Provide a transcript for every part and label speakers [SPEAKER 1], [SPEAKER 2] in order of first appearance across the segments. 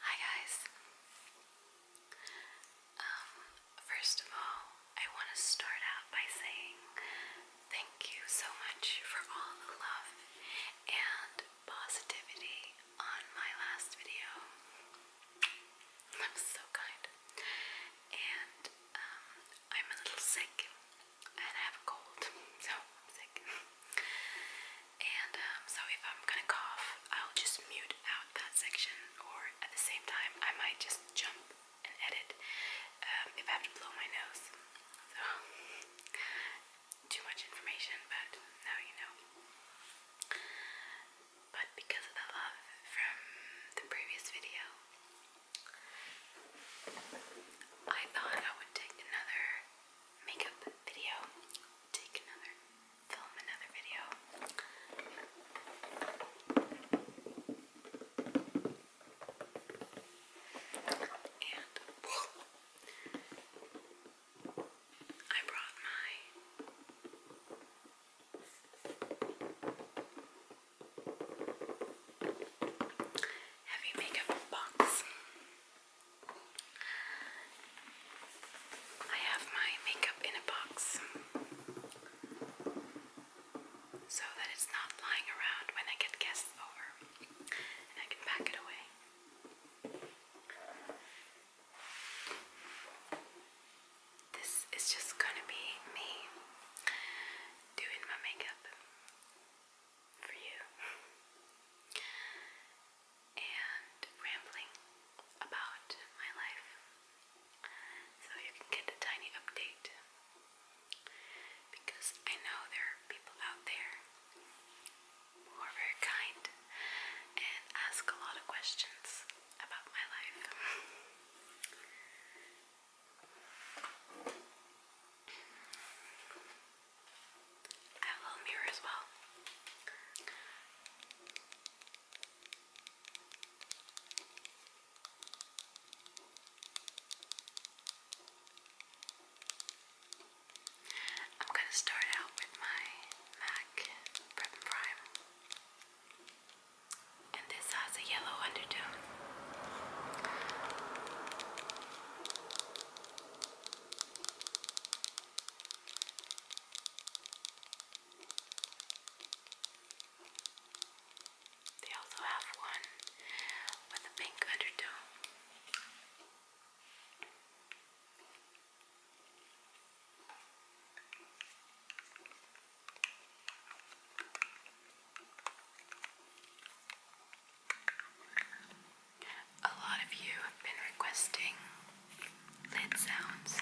[SPEAKER 1] Hi guys. Um, first of all, I want to start out by saying thank you so much for all the love and positivity on my last video. That was so kind. And um, I'm a little sick and I have a cold, so I'm sick. And um, so if I'm gonna cough, I'll just mute out that section, or at the same time, I might just jump and edit um, if I have to blow my nose. So, too much information, but now you know. But because of the love from the previous video, I thought I would take another makeup video, take another, film another video. And whoa, I brought my heavy makeup box. I have my makeup in a box so that it's not lying around when I get guests over and I can pack it away. This is just gonna be me doing my makeup for you. and rambling about my life. So you can get a tiny update. Because I know there are people out there who are very kind and ask a lot of questions about my life. I have a little mirror as well. I'm going to start out with my MAC Prep Prime. And this has a yellow undertone. They also have one with a pink undertone. A lot of you have been requesting lid sounds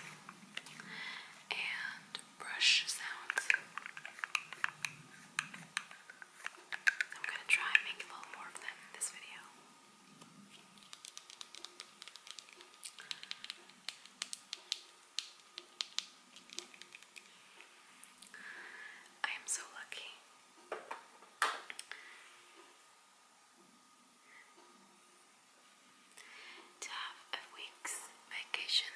[SPEAKER 1] and brush sounds. I'm going to try and make a little more of them in this video. I am so lucky to have a week's vacation.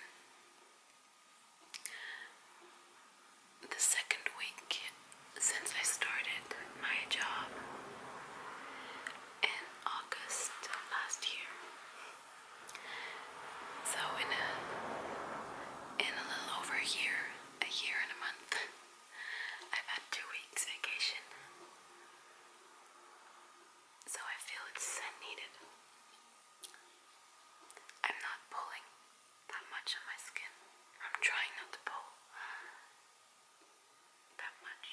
[SPEAKER 1] The second week since I started my job in August last year. So in a in a little over a year, a year and a month, I've had two weeks vacation. So I feel it's needed. I'm not pulling that much on my skin. I'm trying not to pull that much.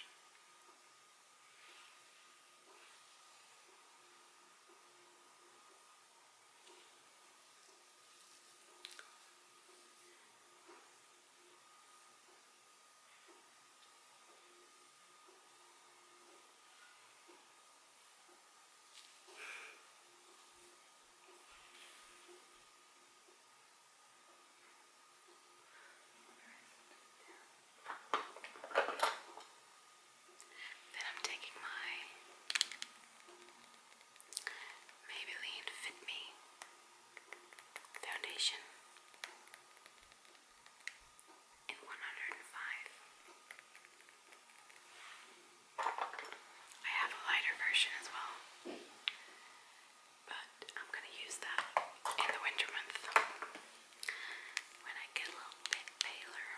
[SPEAKER 1] Then I'm taking my Maybelline Fit Me Foundation in 105. I have a lighter version as well, but I'm going to use that in the winter month when I get a little bit paler.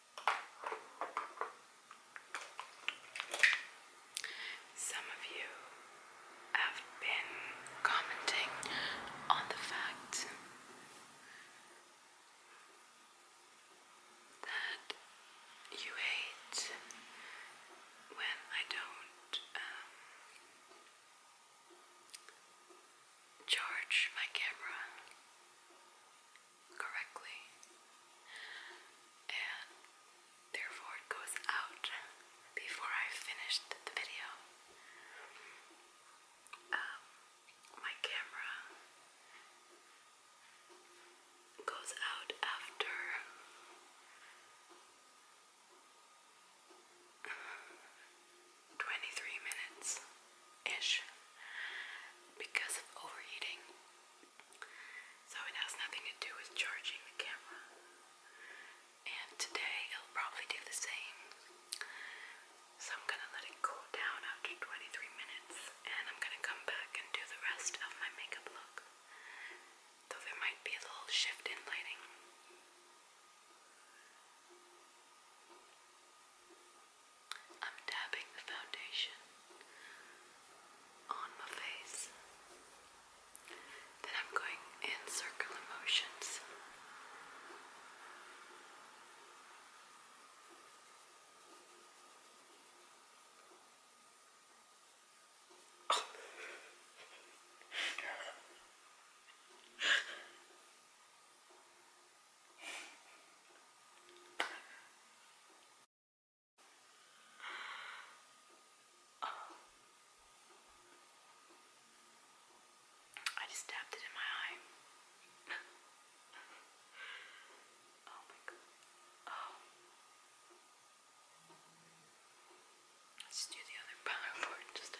[SPEAKER 1] Some of you have been commenting on the fact that you hate when I don't um, charge my camera correctly, and therefore it goes out before I finished the video. Um, my camera goes out after. Twenty-three minutes, ish because of overheating. So it has nothing to do with charging the camera. And today it'll probably do the same. So I'm gonna let it cool down after 23 minutes and I'm gonna come back and do the rest of my makeup look. Though there might be a little shift in lighting. I'm dabbing the foundation on my face. Then I'm going in circular motions. Oh. I just tapped it in my eye. oh my god. Oh. Let's do the other PowerPoint just. To...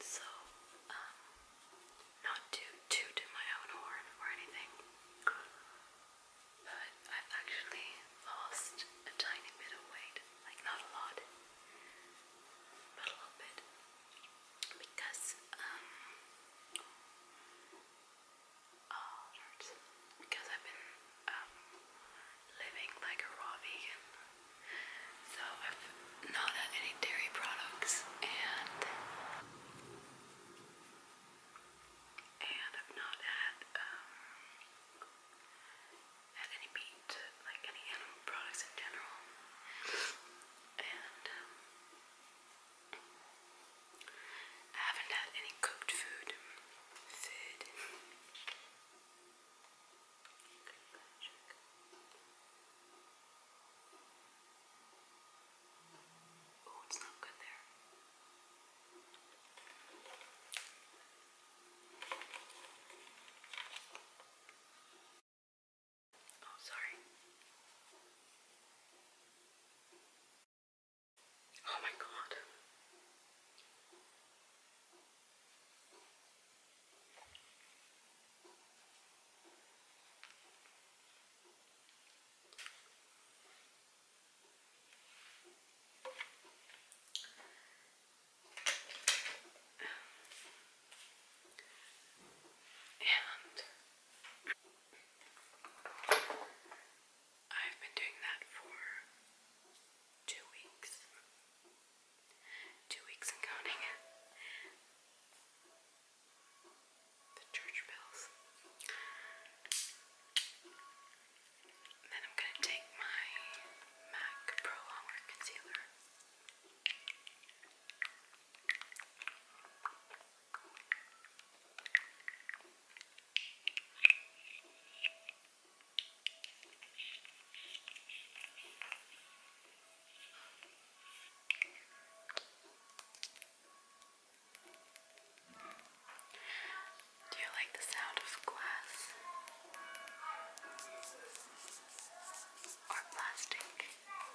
[SPEAKER 1] So, um, not to my own horn or anything, but I've actually lost a tiny bit of weight. Like, not a lot, but a little bit. Because, um, oh, it hurts. Because I've been, um, living like a raw vegan. So I've not had any dairy products and and I've not had um had any meat, like any animal products in general. And um, I haven't had any cooked Food. Kirkpatrick. Oh, oh, it's not good there. Oh, sorry. Oh my god. And I've been doing that for two weeks. Two weeks and counting. The church bills. Then I'm going to take my MAC Pro Longwear Concealer. Do you like the sound of glass or plastic? What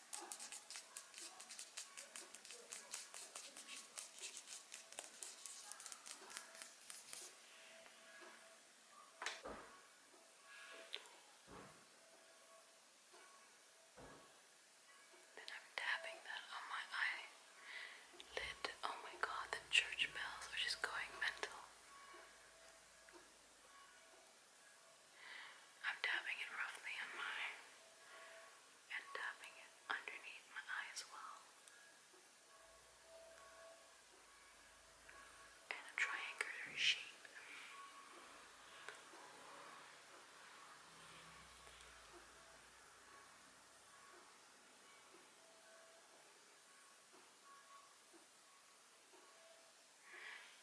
[SPEAKER 1] Then I'm tapping that on my eyelid. Oh my god, the church bells are just going mental. I'm dabbing it roughly on my and dabbing it underneath my eyes well. In a triangular shape.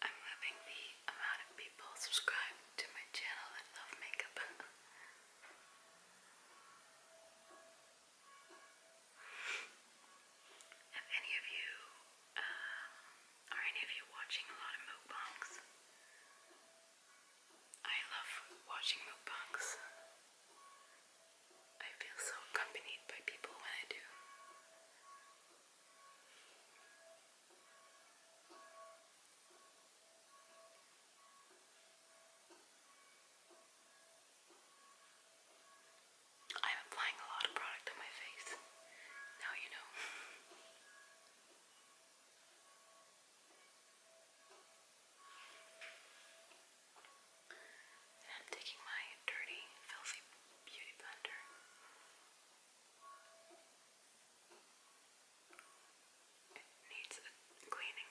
[SPEAKER 1] I'm loving the amount of people subscribed to my channel that love makeup. Have any of you, uh, are any of you watching a lot of mukbangs? I love watching mukbangs. I feel so accompanied by people when I do. I'm applying a lot of product on my face. Now you know. and taking my dirty, filthy beauty blender. It needs a cleaning.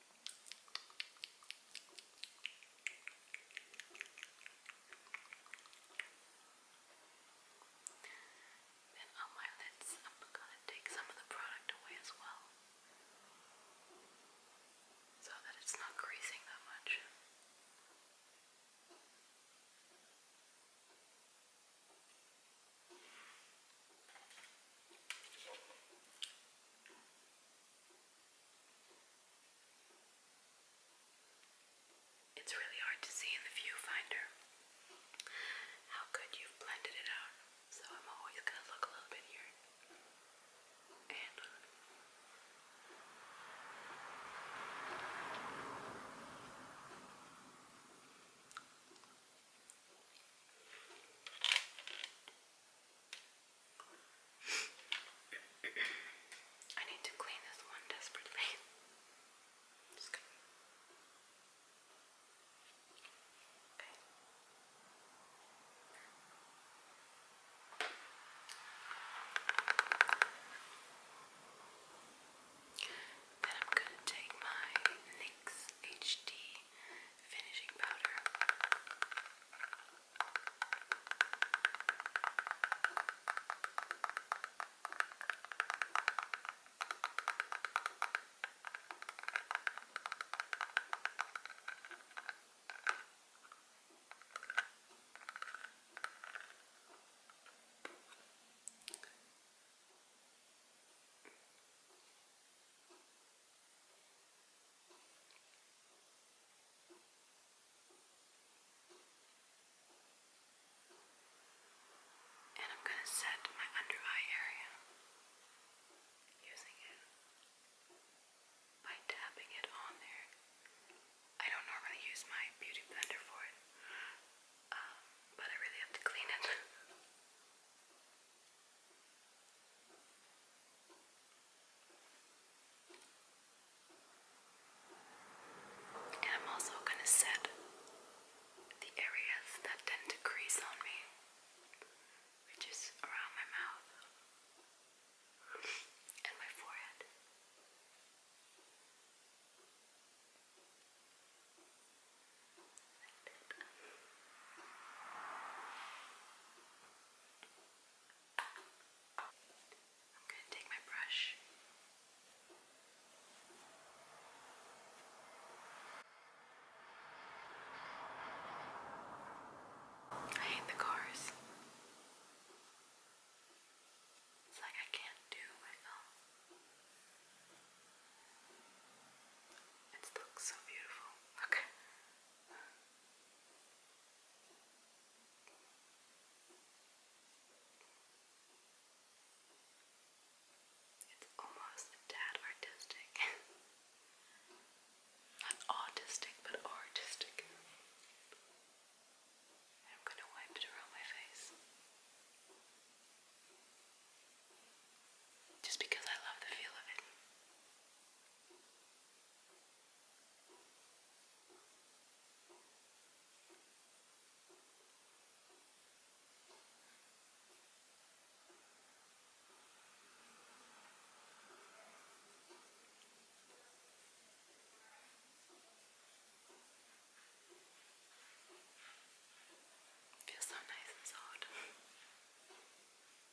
[SPEAKER 1] Then on my lids, I'm gonna take some of the product away as well, so that it's not creasing that much. Now it's really hard to see in the viewfinder how good you've blended it out, so I'm always going to look a little bit here. And uh, I need to clean this one desperately. Okay. Then I'm going to take my NYX HD finishing powder. Okay. And I'm going to set my under eye area using it by tapping it on there. I don't normally use my beauty blender for it, um, but I really have to clean it. And I'm also going to set the areas that tend to crease on me, which is around my mouth and my forehead. I'm going to take my brush. I hate the cars. It's like I can't do It looks so beautiful. Okay. It's almost a artistic. Not autistic, but artistic. I'm going to wipe it around my face. Just because I love the feel of it. Feels so nice and soft.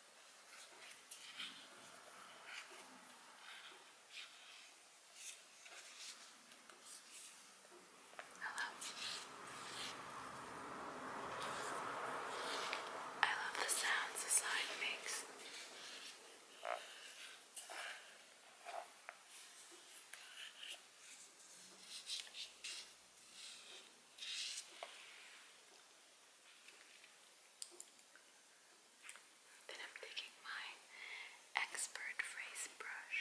[SPEAKER 1] Hello. I love the sounds the slide makes. Then I'm taking my expert phrase brush.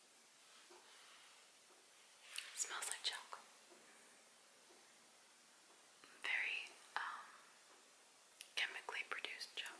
[SPEAKER 1] smells like chocolate. Very um, chemically produced chocolate.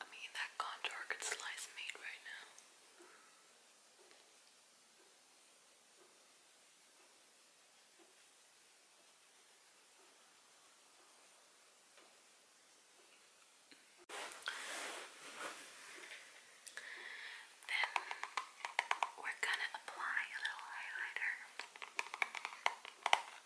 [SPEAKER 1] I mean, that contour could slice meat right now. Then we're gonna apply a little highlighter.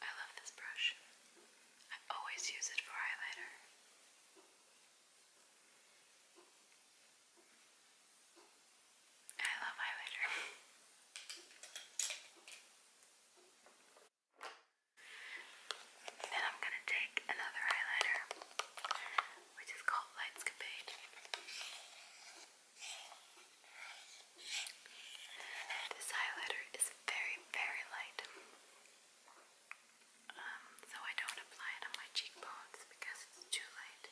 [SPEAKER 1] I love this brush. I always use it for highlighter. I love highlighter. Then I'm going to take another highlighter, which is called Lightscapade. This highlighter is very, very light. Um, so I don't apply it on my cheekbones because it's too light.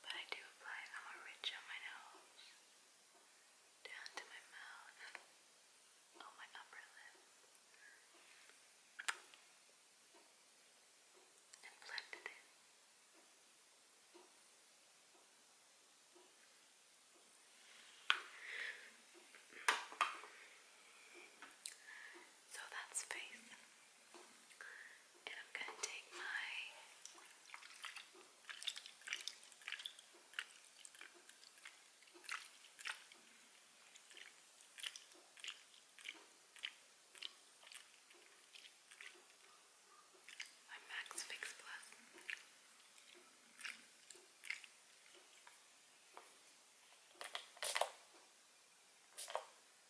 [SPEAKER 1] But I do apply a more on my nose, down to my mouth, on my upper lip, and blended it. So that's face. And I'm going to take my my Max Plus.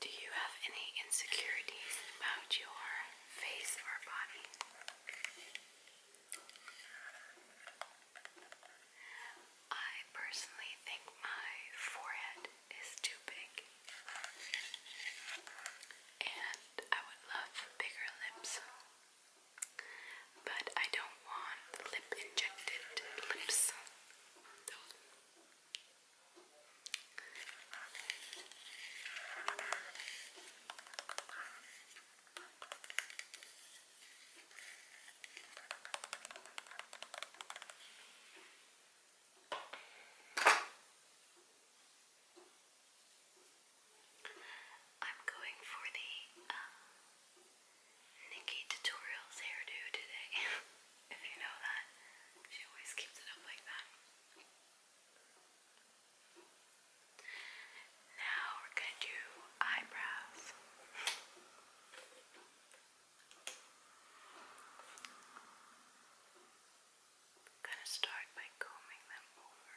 [SPEAKER 1] Do you have any insecurities about your face or body? I personally think my forehead is too big. And I would love bigger lips. But I don't want lip injected lips. I'm going for the uh, Nikki tutorials hairdo today. if you know that, she always keeps it up like that. Now we're going to do eyebrows. going to start by combing them over.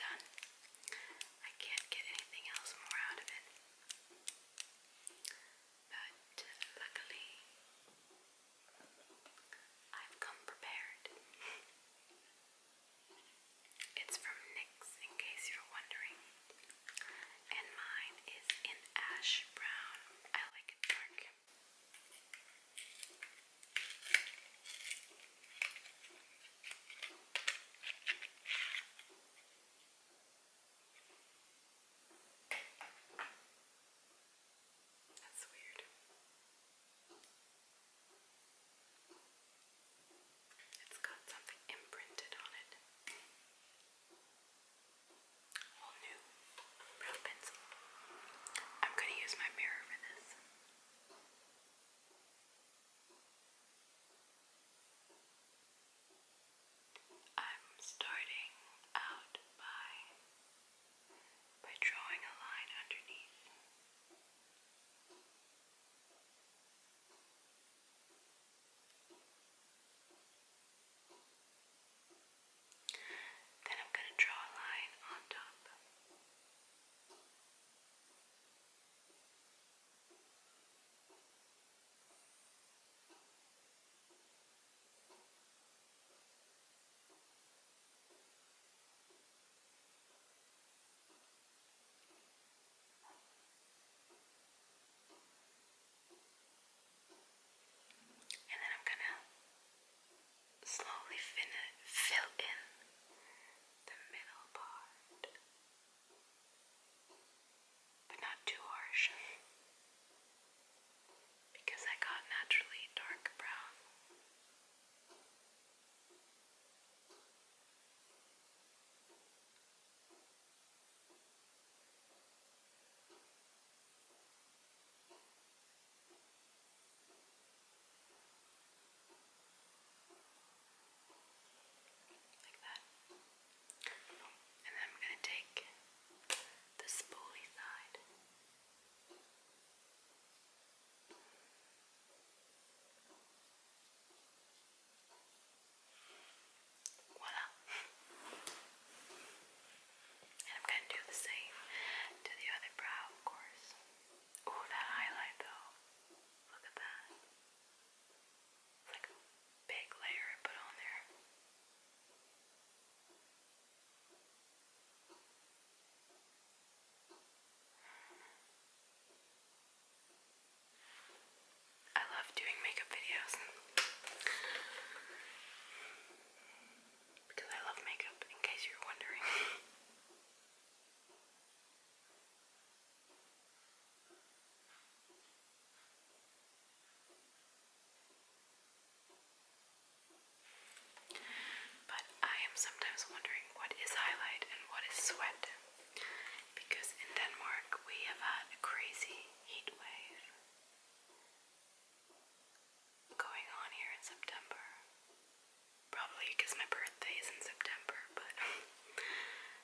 [SPEAKER 1] done. I can't get anything else more out of it. But uh, luckily, I've come prepared. It's from NYX, in case you're wondering. And mine is in ash brown. I like it dark. That's weird. It's got something imprinted on it. All new brow pencil. I'm gonna use my mirror for this. I'm starting out by by drawing a line underneath. Then I'm going to draw a line on top. And then I'm gonna slowly fill in the middle part but not too harsh because I got naturally dark brown. Like that. And I'm going to take the spoolie side. Voila! and I'm going to do the same to the other brow, of course. Oh, that highlight though. Look at that like a big layer I put on there. I love doing makeup videos because I love makeup, in case you're wondering. But I am sometimes wondering what is highlight and what is sweat. Because in Denmark we have had a crazy heat going on here in September. Probably because my birthday is in September, but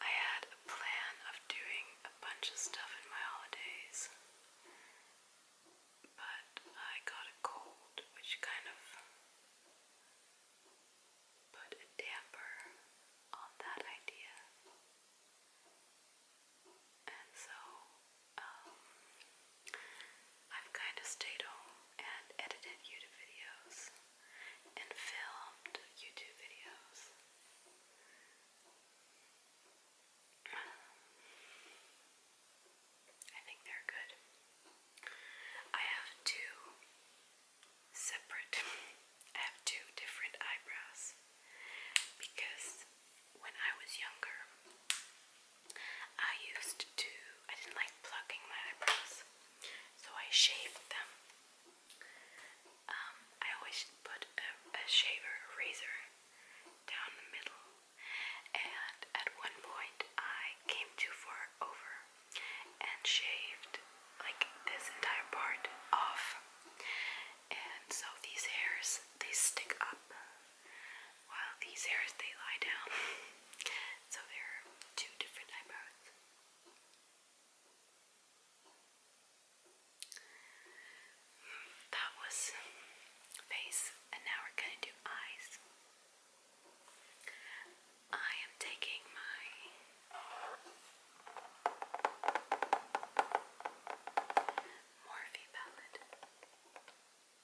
[SPEAKER 1] I had a plan of doing a bunch of stuff in my holidays, but I got a cold, which kind of put a damper on that idea. And so um, I've kind of stayed home and edited YouTube videos and filmed YouTube videos. Um, I think they're good. I have two separate, I have two different eyebrows because when I was younger, I used to, I didn't like plucking my eyebrows, so I shaved them. Um, I always put a, a shaver, a razor down the middle, and at one point I came too far over and shaved like this entire part off. And so these hairs, they stick up while these hairs they lie down. so there are two different eyebrows. That was face, and now we're going to do eyes. I am taking my Morphe palette.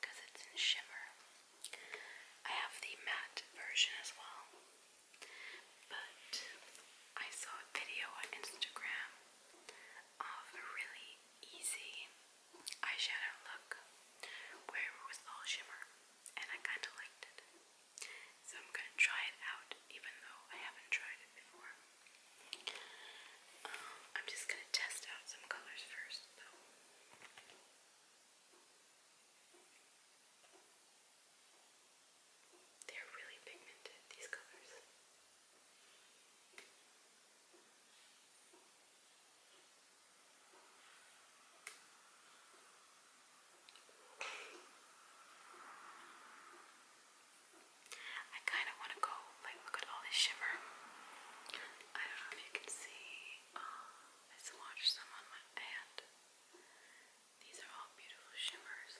[SPEAKER 1] because it's in shimmer. I have the matte version as well, but I saw a video on Instagram of a really easy eyeshadow look where it was all shimmer, and I kind of liked it. So I'm gonna try it out, even though I haven't tried it before. Um, I'm just gonna test out some colors first, though. They're really pigmented, these colors. I kind of want to go, like, look at all this shimmer. I don't know if you can see. Um, I swatched some on my hand. These are all beautiful shimmers.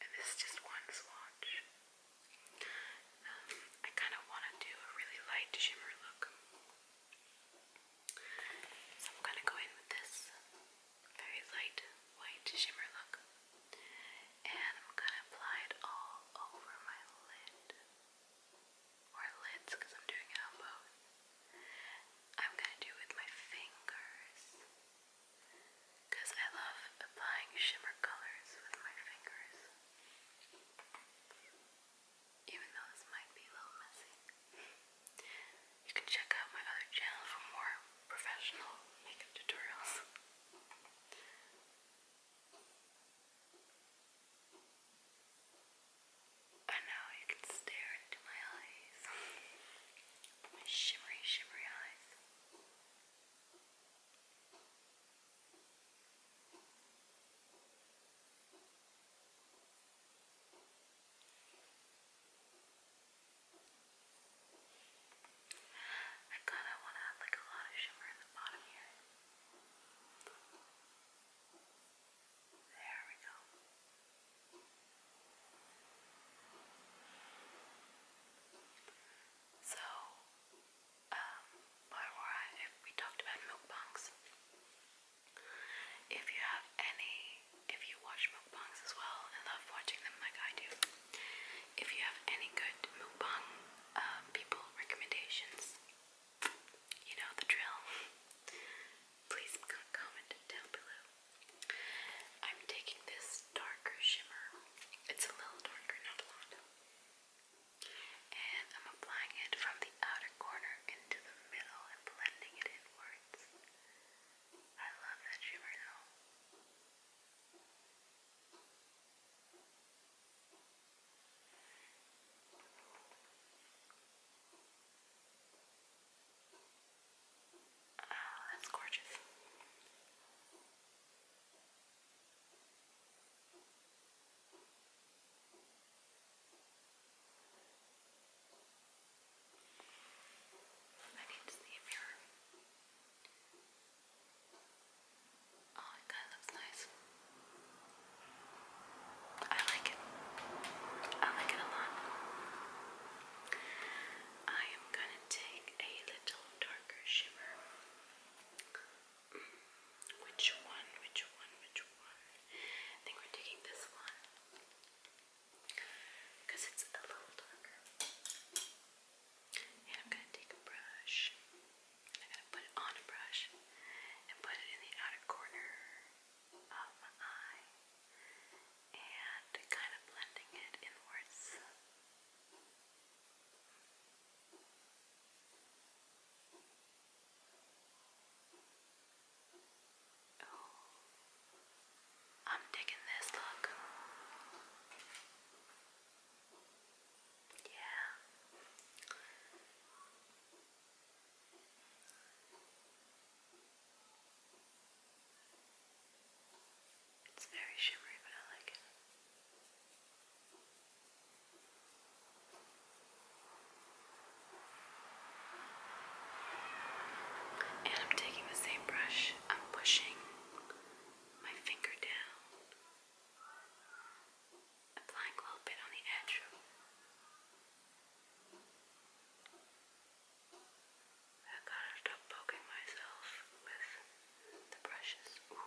[SPEAKER 1] And this is just one swatch. Um, I kind of want to do a really light shimmer look. So I'm going to go in with this very light white shimmer look. And I'm going to apply it all over my lid or lids because I'm doing it both. I'm gonna do with my fingers because I love applying shimmer colors with my fingers. Even though this might be a little messy. You can check out my other channel for more professional makeup tutorials. And now you can stare into my eyes. my shimmery, shimmery eyes. I kind of want to have like a lot of shimmer in the bottom here. There we go. So, um, where We talked about mukbangs. If you have any, if you watch mukbangs as well and love watching them like I do, if you have any good mukbang um, people recommendations. You know the drill. Please comment down below. I'm taking this darker shimmer. It's a little darker, not a And I'm applying it from the outer corner into the middle and blending it inwards. I love that shimmer though. Oh, that's gorgeous. I need to see if your Oh, it kind of looks nice. I like it. I like it a lot. I am going to take a little darker shimmer. Mm, which one? Which one? Which one? I think we're taking this one because it's a little darker. And I'm going to take a brush. I'm gonna put it on a brush and put it in the outer corner of my eye and kind of blending it inwards. Oh, I'm digging this look. Yeah. It's very shimmery but I like it. And I'm taking the same brush, I'm pushing my finger down applying a little bit on the edge. I gotta stop poking myself with the brushes. Ooh. Oh.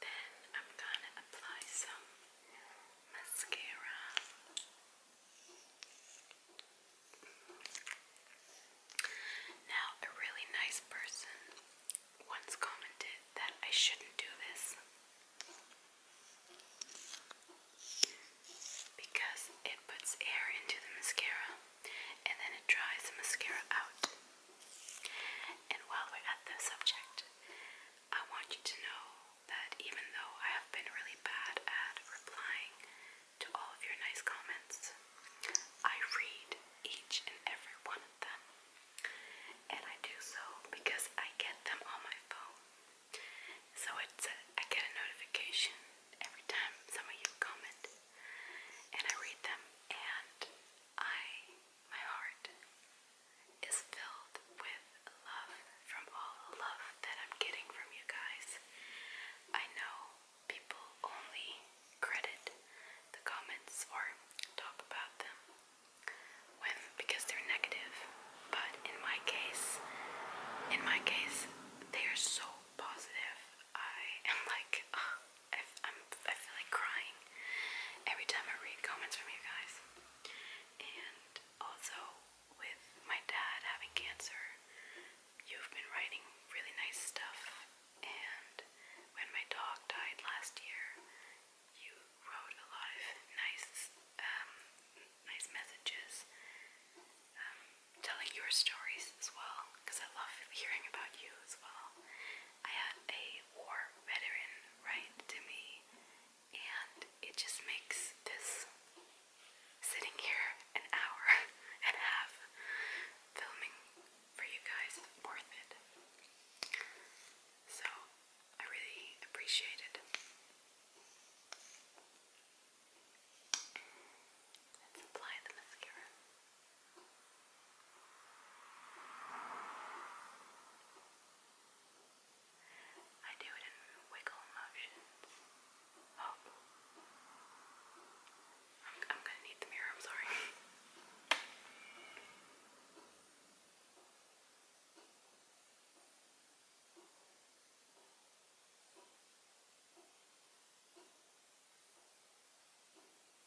[SPEAKER 1] Then I'm gonna apply some mascara. Now, a really nice person once commented that I shouldn't do this because it puts air into the mascara and then it dries the mascara out. And while we're at the subject, I want you to know that even though I have been really bad at replying to all of your nice comments, I read each and every one of them. And I do so because I get them on my phone. So it's uh, get a notification every time some of you comment, and I read them, and I my heart is filled with love from all the love that I'm getting from you guys. I know people only credit the comments or talk about them when because they're negative, but in my case, in my case, they are so positive. I am like, I, am I feel like crying every time I read comments from you guys. And also, with my dad having cancer, you've been writing really nice stuff. And when my dog died last year, you wrote a lot of nice, um, nice messages, um, telling your stories as well. Because I love hearing about you as well, I had a war veteran write to me, and it just makes this sitting here an hour and half filming for you guys worth it. So I really appreciate it. Let's apply the mascara. I do it in wiggle motions. Oh. I'm, I'm going to need the mirror, I'm sorry.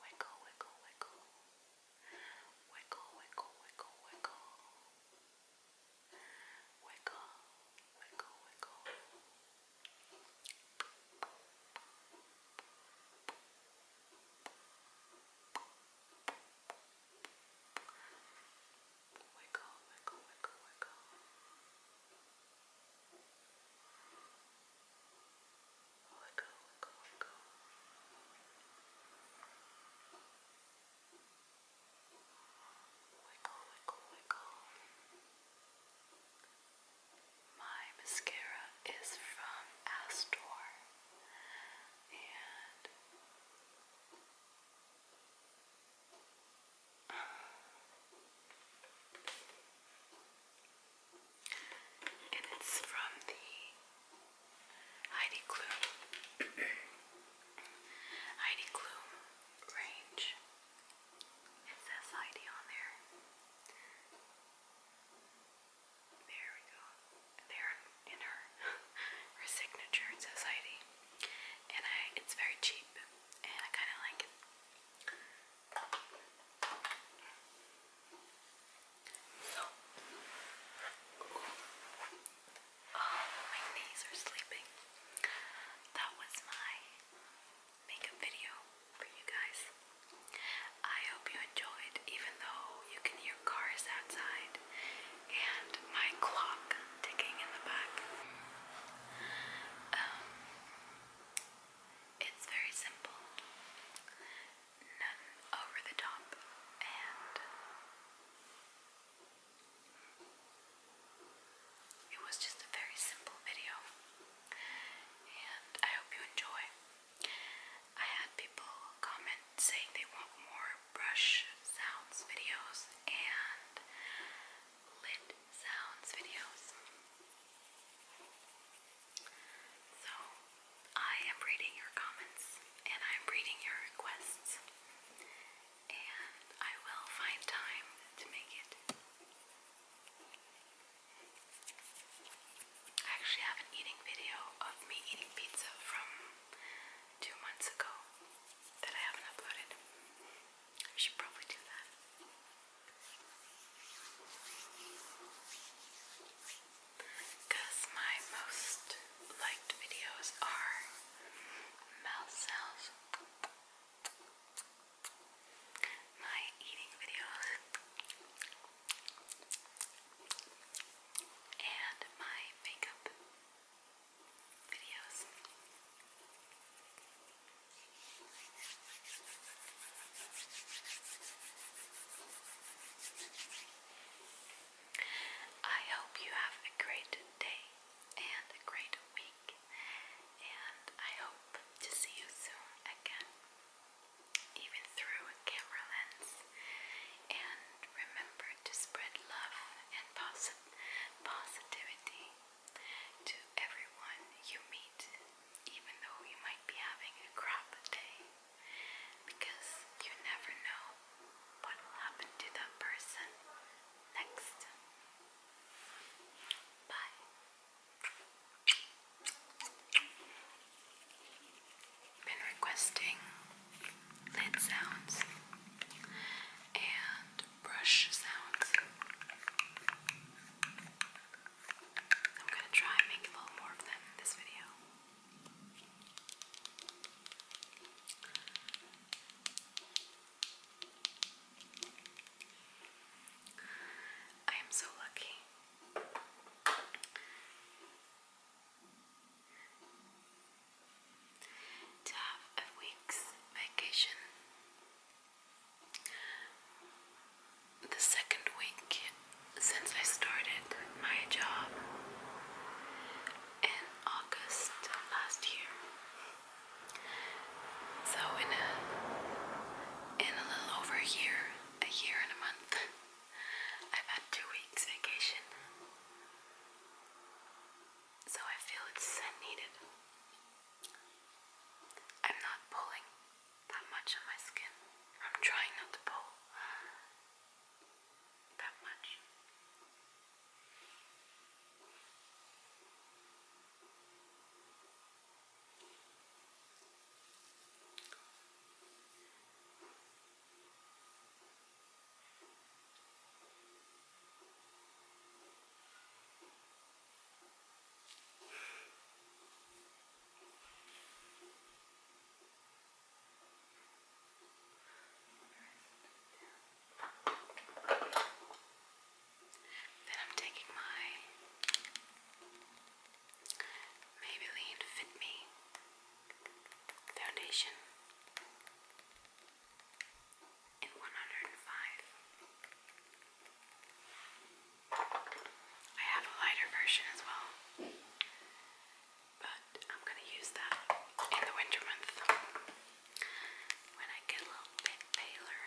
[SPEAKER 1] Wiggle, wiggle, wiggle. Wiggle, wiggle, wiggle, wiggle. Wiggle, wiggle, wiggle. Wiggle, wiggle, wiggle, wiggle. Wiggle, wiggle, wiggle, wiggle let go, let go, let go. Wiggle, wiggle, wiggle. My mascara is from Astor and uh, and it's from the Heidi Klum Heidi Klum range. It says Heidi on there. There we go. There in her her signature it says And I it's very cheap and I kinda like it. Oh, my knees are sleeping. That was my makeup video for you guys. I hope you enjoyed, even though you can hear cars outside and my clock ticking in the back. Um, it's very simple none over the top, and it was just a very simple video. And I hope you enjoy. I had people comment saying they want more brush sounds videos and lit sounds videos. So, I am reading your comments and I'm reading your requests, and I will find time to make it. I actually have an eating video of me eating pizza from two months ago that I haven't uploaded. I should probably do that because my most liked videos are mouth sounds, my eating videos, and my makeup videos. I hope you have a great day and a great week, and I hope to see you soon again, even through a camera lens. And remember to spread love and posi positivity to everyone you meet, even though you might be having a crap day because you never know what will happen to that person next. Bye. Been requesting lid sounds and brush sounds. I'm gonna try and make a little more of them in this video. I am so lucky. To have a week's vacation the second week since I started my job in August last year. So in a in a little over a year, a year and a month, I've had two weeks vacation. So I feel it's needed. I'm not pulling that much on my skin. I'm trying not to pull that much. Then I'm taking my Maybelline Fit Me foundation in 105. I have a lighter version as well, but I'm going to use that in the winter month when I get a little bit paler.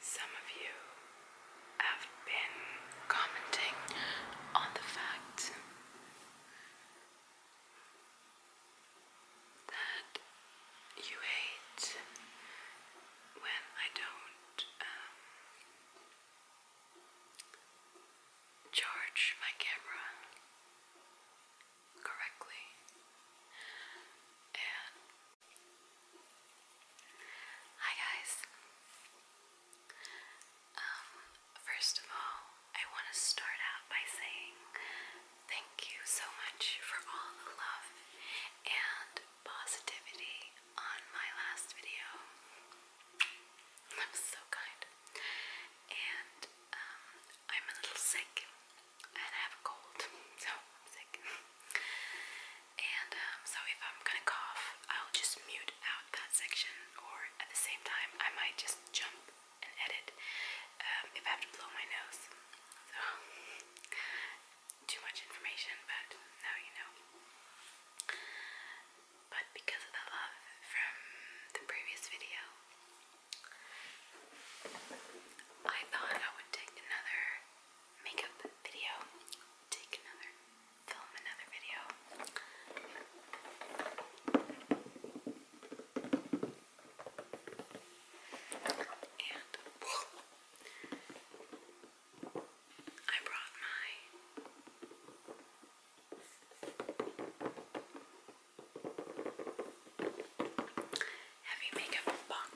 [SPEAKER 1] Some of you have been commenting on the fact that you hate when I don't um, charge my camera correctly hi guys um, first of all I want to start out by saying thank you so much for all the love and positivity on my last video. That was so kind. And um, I'm a little sick and I have a cold, so I'm sick. and um, so if I'm gonna cough, I'll just mute out that section, or at the same time, I might just jump and edit um, if I have to blow my nose. So, too much information, but now you know. But because of the love from the previous video, I thought I would take another makeup video, take another, film another video. I brought my heavy makeup box.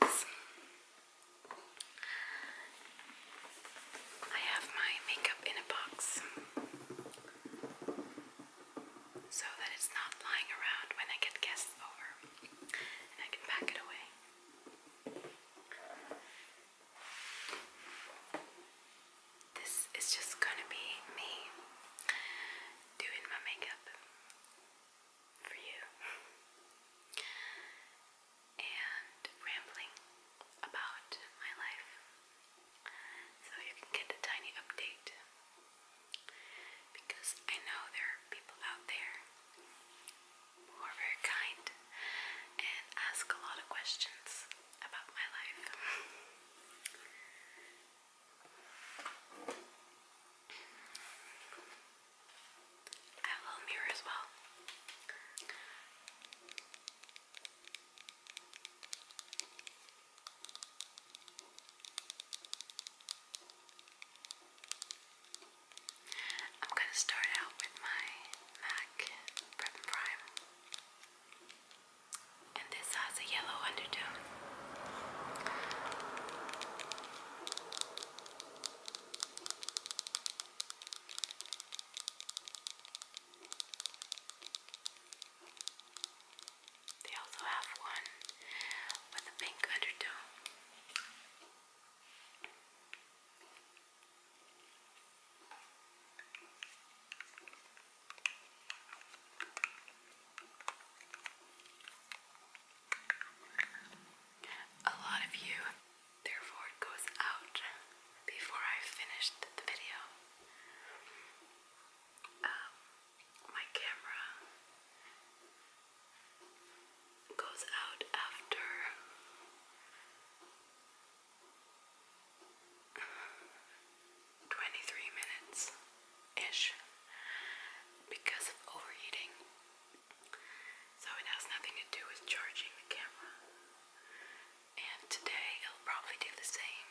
[SPEAKER 1] I have my makeup in a box so that it's not lying around when I get guests over and I can pack it away. This is just gonna be me doing my makeup for you and rambling about my life so you can get a tiny update because I know there are people out there who are very kind and ask a lot of questions about my life. I have a little mirror as well. I'm going to start out with my MAC Prep Prime. And this has a yellow undertone. They also have one with a pink undertone. A lot of you, therefore, goes out before I finished the video. Um, my camera goes out after twenty three minutes ish because of overheating. So it has nothing to do with charging the camera. And today it'll probably do the same.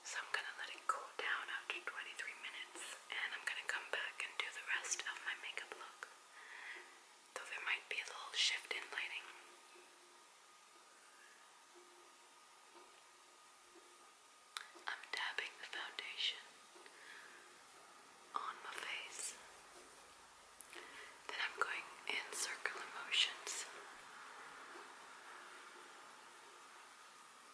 [SPEAKER 1] So I'm gonna let it cool down after 23 minutes and I'm gonna come back and do the rest of my makeup look. Though there might be a little shift in lighting. I'm dabbing the foundation on my face. Then I'm going in circular motions.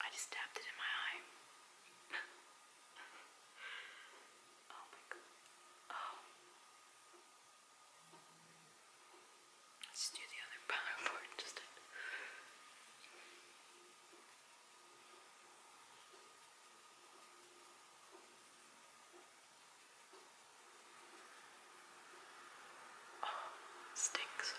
[SPEAKER 1] I just stabbed it in my eye. oh my god. Oh. Let's do the other PowerPoint just. Oh, stinks.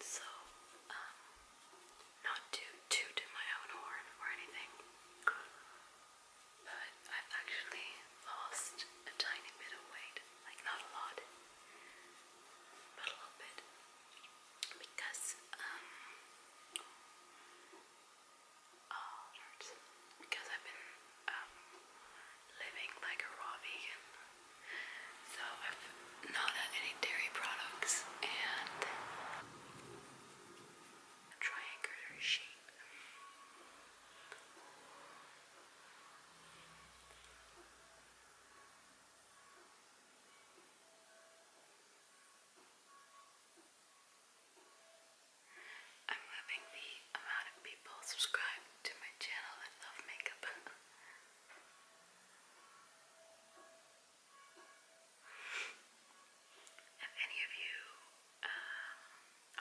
[SPEAKER 1] So, um, not to toot in my own horn or anything, but I've actually lost a tiny bit of weight like not a lot, but a little bit, because um, oh Lord, because I've been um living like a raw vegan, so I've not had any dairy products and trying critter sheep. I'm hoping the amount of people subscribe to my channel that love makeup. if any of you uh,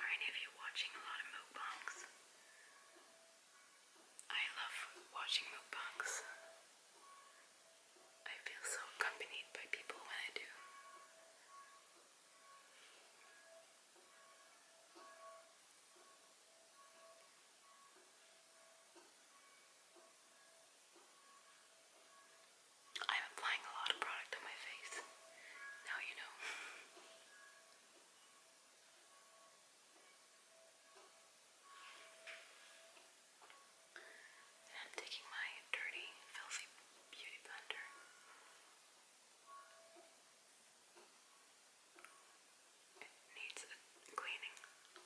[SPEAKER 1] are any of you watching a lot of mukbangs? I love watching mukbangs. I feel so accompanied by people when I do. I'm applying a lot of product on my face. Now you know. And I'm taking my dirty, filthy beauty blender. It needs a cleaning. And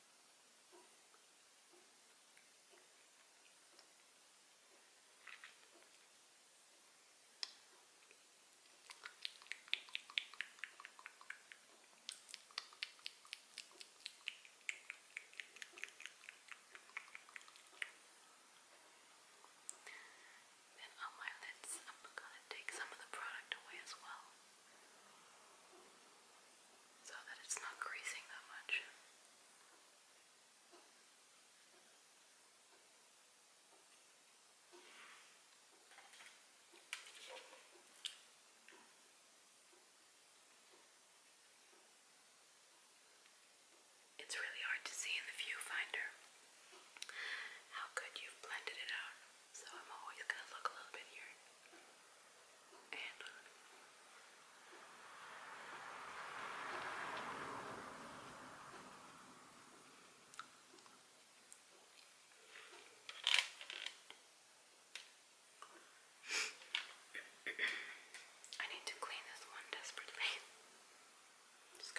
[SPEAKER 1] And on my lids, I'm going to take some of the product away as well so that it's not creasing that much. It's really hard to see in the viewfinder how good you've blended it out. So I'm always gonna look a little bit here. I need to clean this one desperately.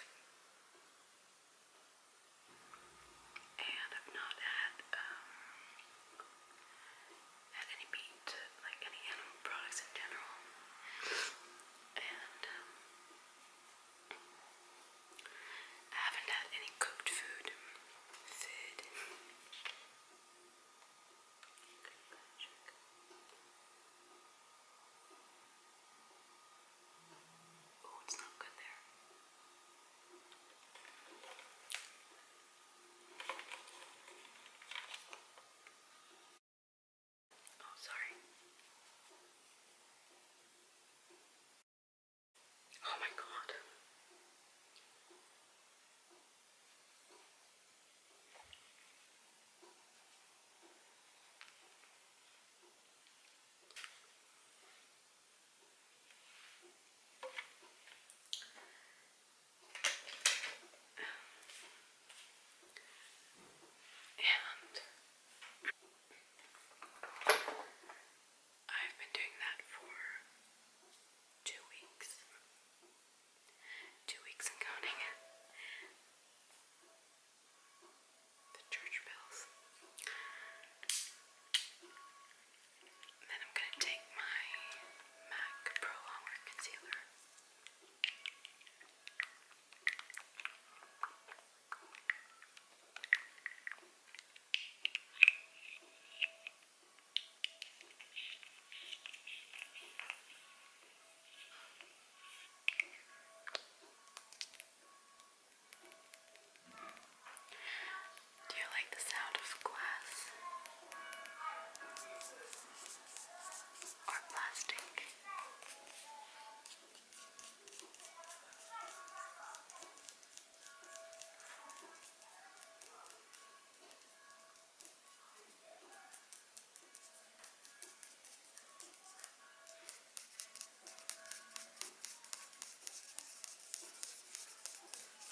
[SPEAKER 1] And I've not had um, at any meat, like any animal products in general. And um, I haven't had any cooked food. Food. Oh, it's not good there. Oh, sorry. Oh, my God. And I've been doing that for two weeks. Two weeks and counting. The church bells. And then I'm going to take my MAC Pro Longwear Concealer. Do you like the sound of glass or plastic?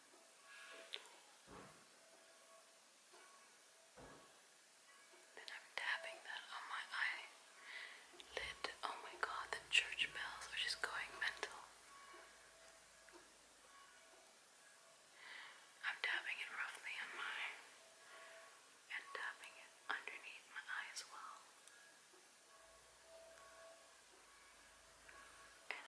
[SPEAKER 1] Then I'm tapping that on my eye lid. Oh my god, the church bells are just going mental. I'm tapping it roughly on my and tapping it underneath my eye well.